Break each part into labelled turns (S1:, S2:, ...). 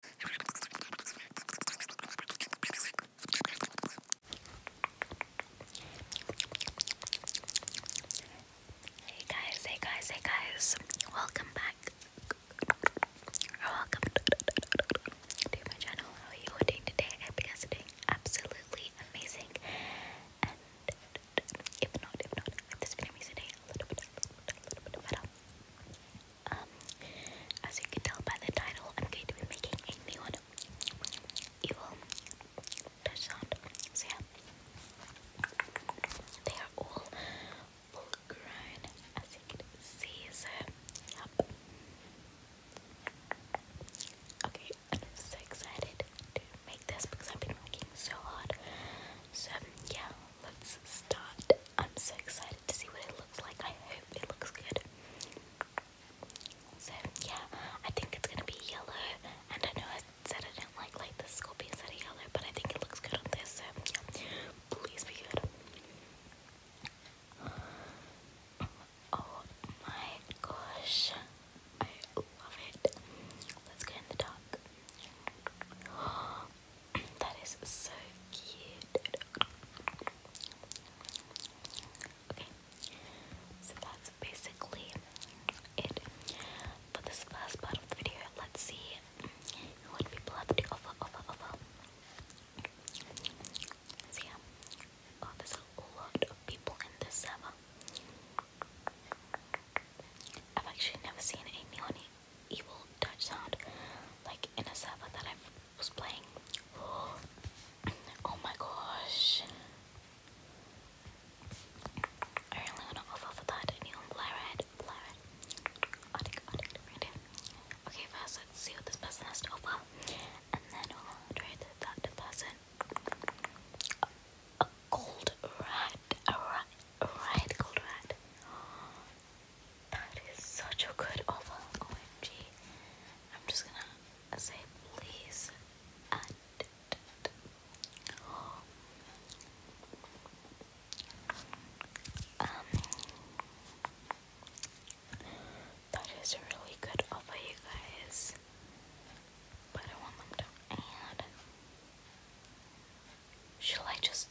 S1: Hey guys, hey guys, hey guys, welcome back. Welcome to my channel. How are you doing today? I hope you guys are doing absolutely amazing. And if not, if not, if this video makes your day a little bit, a little bit, a little bit better, um, as you can tell by the title, I'm going to be making a neon evil touch sound. So yeah, they are all full grown, as you can see. So yep. Okay, I'm so excited to make this because I've been working so hard. So yeah, let's start. I'm so excited to see what it looks like. I hope it looks good. So yeah, I think it's gonna be yellow. And I know I said I didn't like like the scorpions that yellow, but I think it looks good on this. So please be good. Oh my gosh, I love it. Let's go in the dark. Oh, that is so cute. Okay, so that's basically it for this first part of the video. Let's see what people have to offer, offer, offer. So oh, there's a lot of people in this server. I've actually never seen a neonie evil Dutch sound, like in a Sava that I was playing. oh my gosh. I really want to go off that. I need on Blared. Okay, first let's see what this person has to offer. And then we'll trade that person. A, gold rat. A rat. A rat. Gold rat. That is such a good oval. OMG. am just gonna say please add um, that is really good offer, you guys. But I want them to add. Shall I just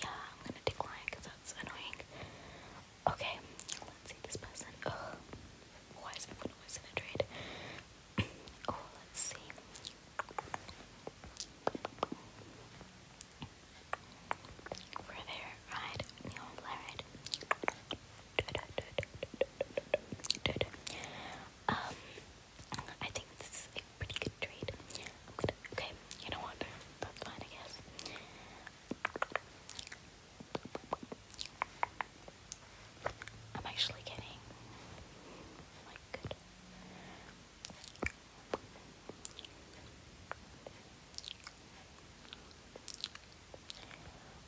S1: Yeah, I'm gonna decline that's annoying. Okay, let's see this person. Why is everyone always in a trade? oh, let's see. I think this a pretty good trade. am okay, you know what? That's fine, I guess. I'm actually kidding.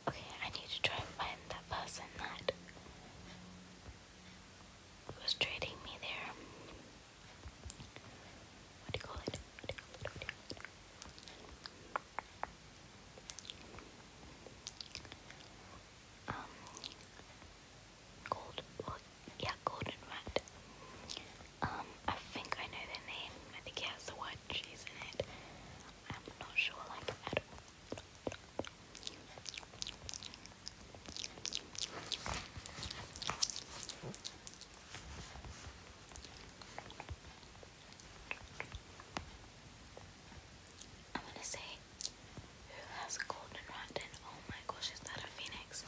S1: Okay, I need to try and find that person that who was trading me there. What do you call it? Um, yeah, golden rat. Um, I think I know their name. I think it has the word cheese in it. I'm not sure, like, at all. I'm gonna say, who has golden rotten? Oh my gosh, is that a phoenix?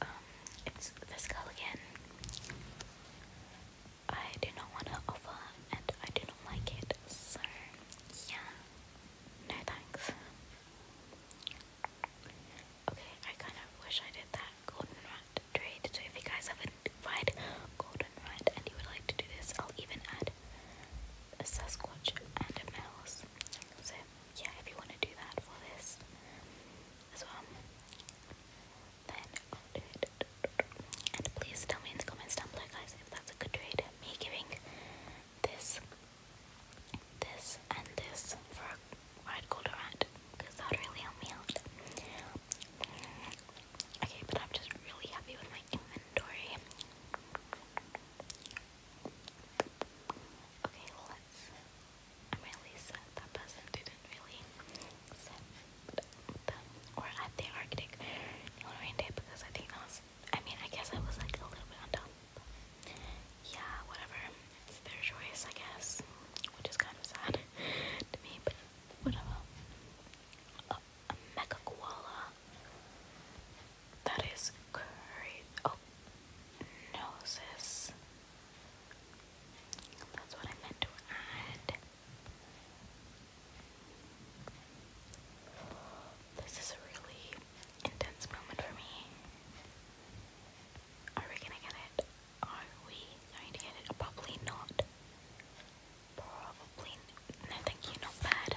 S1: Um, it's this girl again. I do not want to offer and I do not like it, so yeah, no thanks. Okay, I kind of wish I did that golden trade, so if you guys haven't tried golden and you would like to do this, I'll even add had a Sasquatch and a mouse. So yeah, if you want to do that for this as well, then I'll do it. And please tell me in the comments down below, guys, if that's a good trade. Me giving this, this, and this for a ride called a rat, because that would really help me out. Okay, but I'm just really happy with my inventory. Okay, let's. I'm really sad that person didn't really set them or at the Arctic Halloween because I think that was. I mean, I guess I was like a little bit on top. Yeah, whatever. It's their choice, I guess, which is kind of sad to me, but whatever a mega That is crazy. Oh, noses. That's what I meant to add. This is really intense moment for me. Are we gonna get it? Are we going to get it? Probably not. Probably no thank you, not bad.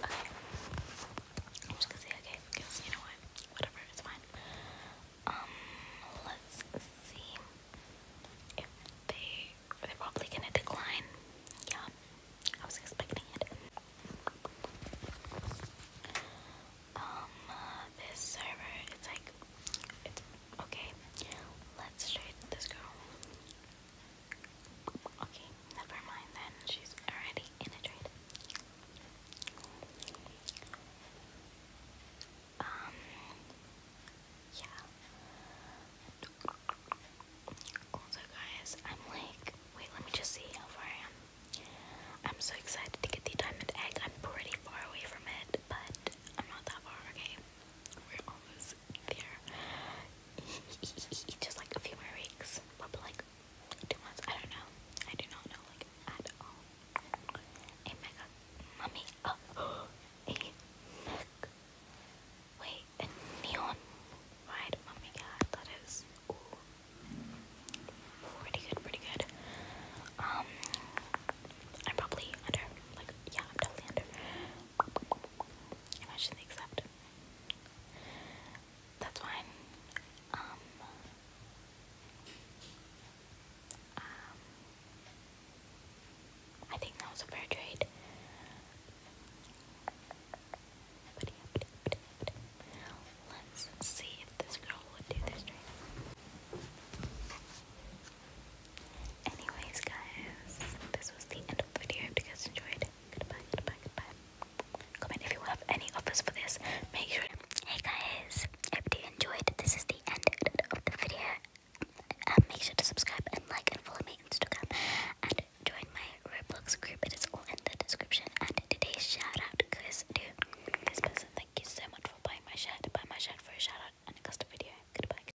S1: Okay. I'm just gonna say okay because you know what? Whatever, it's fine. Um let's see if they they're probably gonna decline. Yeah. I was expecting it. Um, this server, it's like, Okay, let's shoot this girl. Okay, never mind then. She's already in a trade. Um, yeah. Also, guys, I'm like, wait, let me just see how far I am. I'm so excited to get the diamond egg. I'm pretty far away from it, but I'm not that far, okay? We're almost there. Just like a few more weeks. Probably like two months. I don't know. I do not know like at all. A mega mummy. Oh, a mech. Wait, neon ride mummy. Yeah, that is. Pretty good, pretty good. Um, I'm probably under, like, yeah, I'm definitely under Imagine the accept. That's fine. Um, um, I think that was a fair trade. Let's see if this girl would do this trade. Anyways, guys, this was the end of the video. I hope you guys enjoyed. Goodbye, goodbye, goodbye. Comment if you have any offers for this. Make sure. Hey guys, I you enjoyed. This is the end of the video. Um, make sure to subscribe and like and follow my Instagram and join my Roblox group. It is all in the description. And today's shout out goes to this person. Thank you so much for buying my shirt. Buy my shirt for a shout out and a custom video. Goodbye.